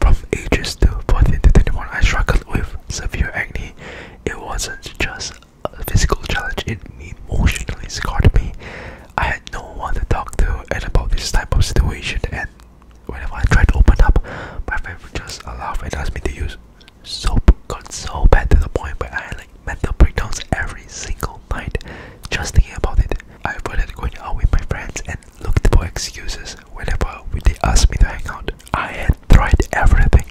From ages 14 to 21, I struggled with severe acne. It wasn't just a physical challenge, it emotionally scarred me. I had no one to talk to and about this type of situation, and whenever I tried to open up, my family just laugh and ask me to use soap. Got so bad to the point where I had like mental breakdowns every single all just thinking about it. I avoided going out with my friends and looked for excuses whenever they asked me to hang out. I had tried everything,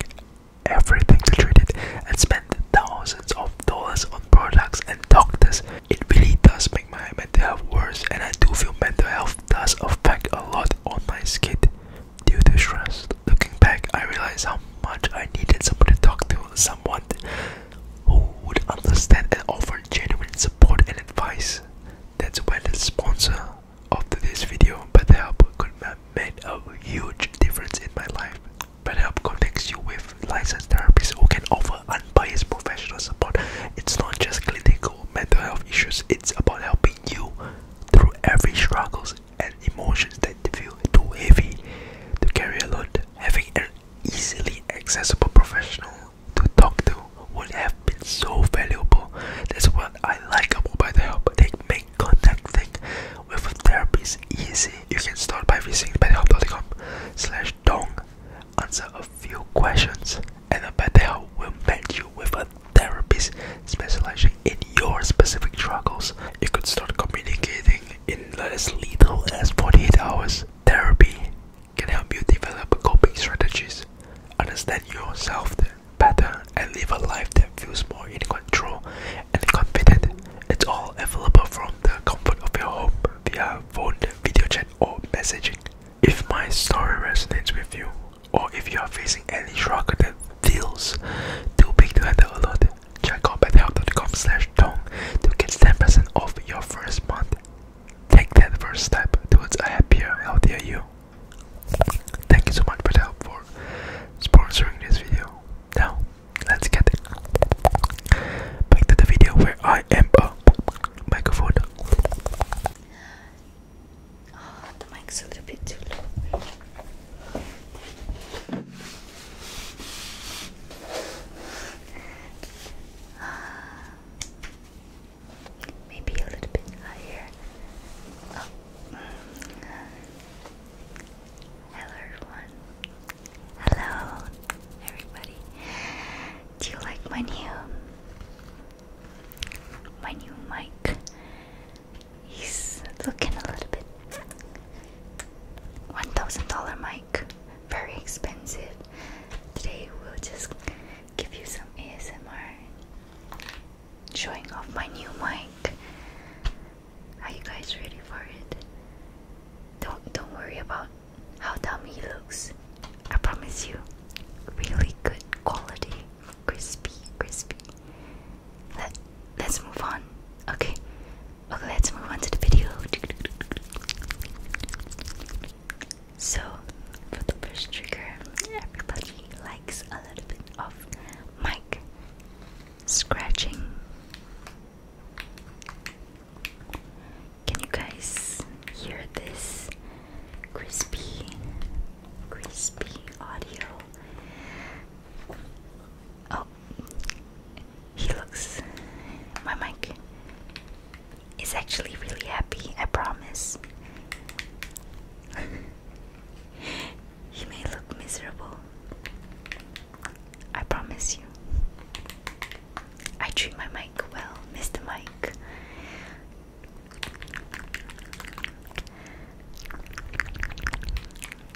everything to treat it, and spent thousands of dollars on products and doctors. It really does make my mental health worse, and I do feel mental health does affect a lot on my skin due to stress. Looking back, I realized how much I needed someone to talk to, someone who would understand and offer genuine support and advice. That's why the sponsor of today's video, BetterHelp, could have made a huge difference in my life. BetterHelp connects you with licensed therapists who can offer unbiased professional support. It's not just clinical mental health issues, it's about helping you through every struggles and emotions that feel too heavy to carry alone. Having an easily accessible professional to talk to would have been so valuable. That's what I like about Mobile Help. They make contacting with a therapist easy. You can start by visiting betterhelp.com slash dong, answer a few questions, and a BetterHelp will match you with a therapist specializing in your specific struggles. You could start communicating in as little as 48 hours therapy can help you develop coping strategies, understand yourself better, and live a life that feels more in control and confident. It's all available from the comfort of your home via phone, video chat, or messaging. If my story resonates with you, or if you are facing any struggle that feels too big to handle alone, Check out bethelp.com slash tone to get 10% off your first month. Take that first step towards a happier, healthier you. Thank you so much BetHelp for sponsoring this video. Now, let's get back the video where I am a microphone. Oh, the mic's a little bit too low. Maybe a little bit higher. Oh. Hello, everyone. Hello, everybody. Do you like my new my new mic? He's looking a little bit. $1,000 mic very expensive. Today we'll just give you some ASMR showing off my new mic. Are you guys ready for it? Don't don't worry about how dumb he looks. I promise you, really good quality, crispy, crispy. Let let's move on. Okay, Okay, let's move on to the video. So, for the first trigger, everybody likes a little bit of mic scratching. Can you guys hear this crispy, crispy audio? Oh, he looks. My mic is actually really happy, I promise. he may look miserable. I promise you. I treat my mic well, Mr. Mike.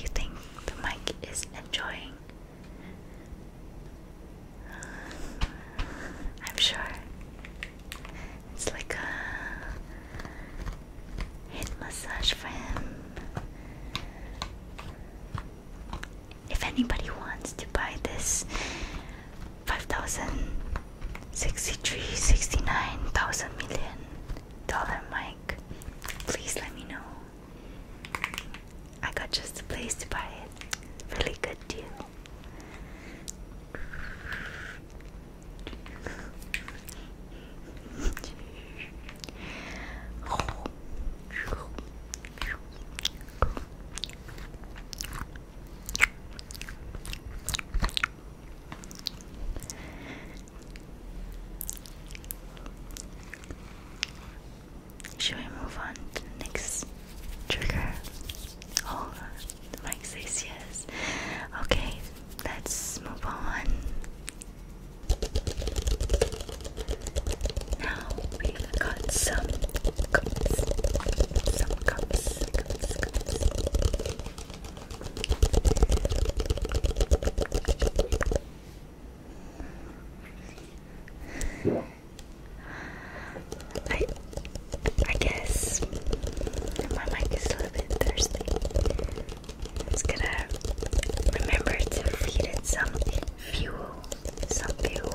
you think the mic is enjoying? I'm sure it's like a head massage for him. If anybody wants to buy this 5,063, 69,000 million Dollar Mike, please let me know I got just a place to buy it really good deal should we move on to the next trigger? Oh, Mike says yes. Okay, let's move on. Now we got some cups. Some cups. I I guess my mic is a little bit thirsty. It's gonna remember to feed it some fuel. Some fuel.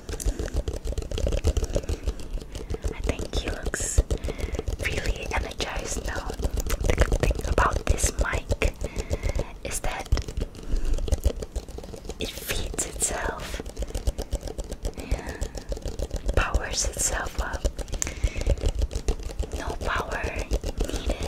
I think he looks really energized now. The thing about this mic is that it feeds itself, powers itself up. No power needed.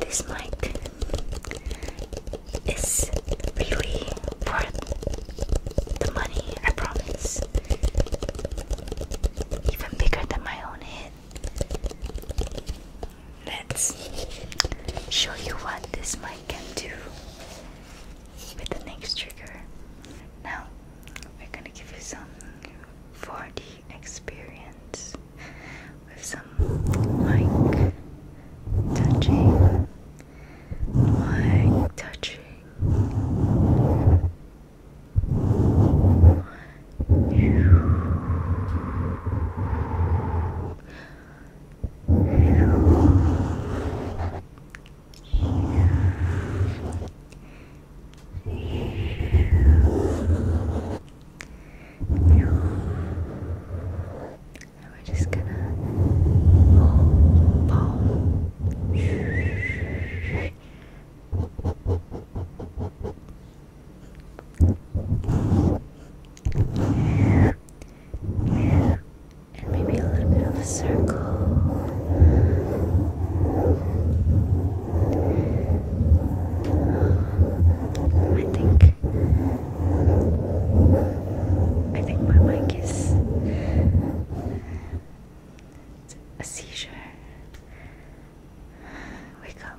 This mic is really worth the money, I promise. Even bigger than my own head. Let's show you what this mic can do with the next trigger. Now, we're gonna give you some 4 experience with some like touching, like touching. You and we're just gonna palm. And maybe a little bit of a circle. I think I think my mic is a seizure. Wake up.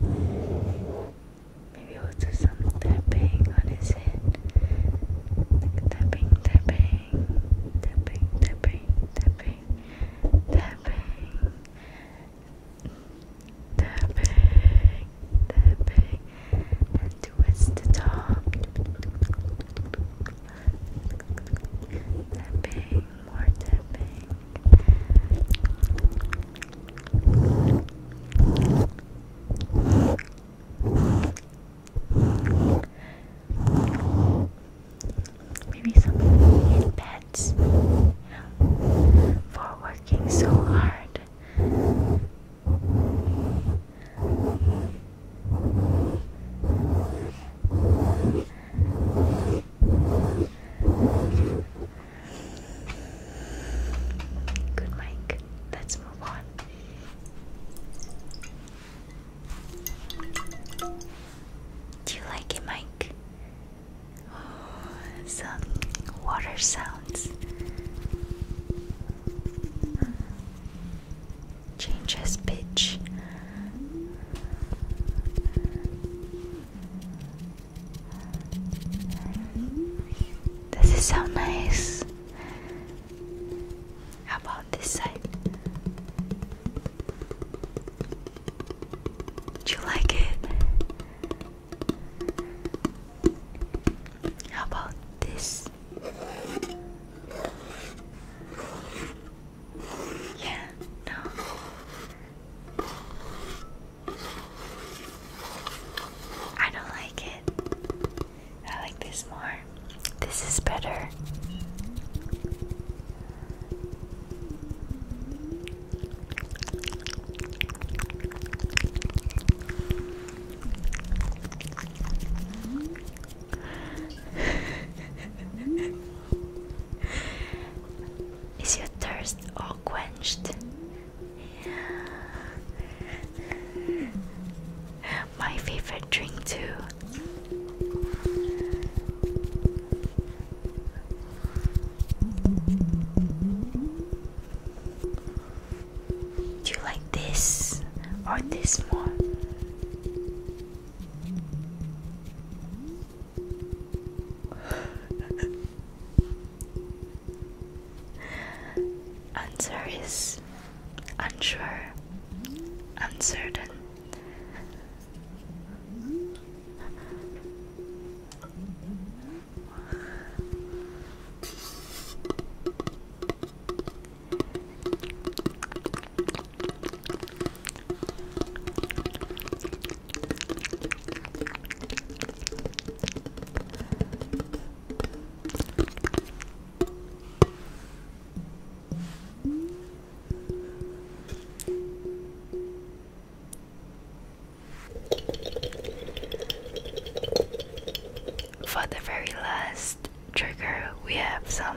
Maybe we'll do some tapping on his head. tapping, tapping, tapping, tapping, tapping, tapping, tapping, tapping, and towards the top. Tapping, more tapping, Maybe something in beds, for working so hard. Good mic. Let's move on. Do you like it, Mike? Oh, water sounds. Changes pitch. This is so nice. How about this side? Do you like it? How about this? Yeah, no. I don't like it. I like this more. This is better. Is your thirst all quenched? My favorite drink, too. Do you like this or this more? Answer is unsure, uncertain. For the very last trigger, we have some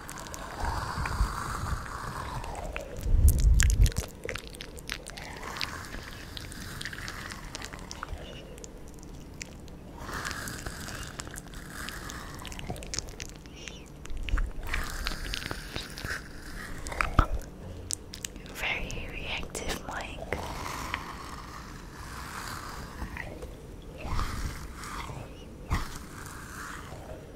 Very reactive, Mike.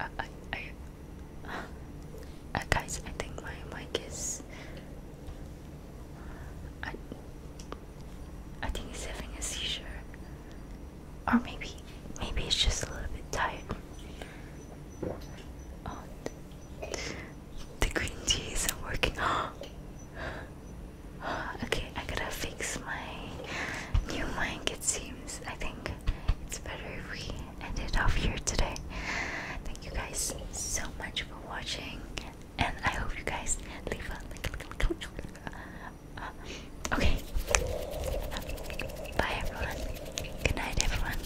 Uh, I, uh, guys, I think my mic is. I, think he's having a seizure, or maybe, maybe it's just a little bit tired. Oh, the green tea isn't working. okay, I gotta fix my new mind. it seems. I think it's better if we end it off here today. Thank you guys so much for watching, and I hope you guys leave a like. Uh, okay. Bye, everyone. Good night, everyone.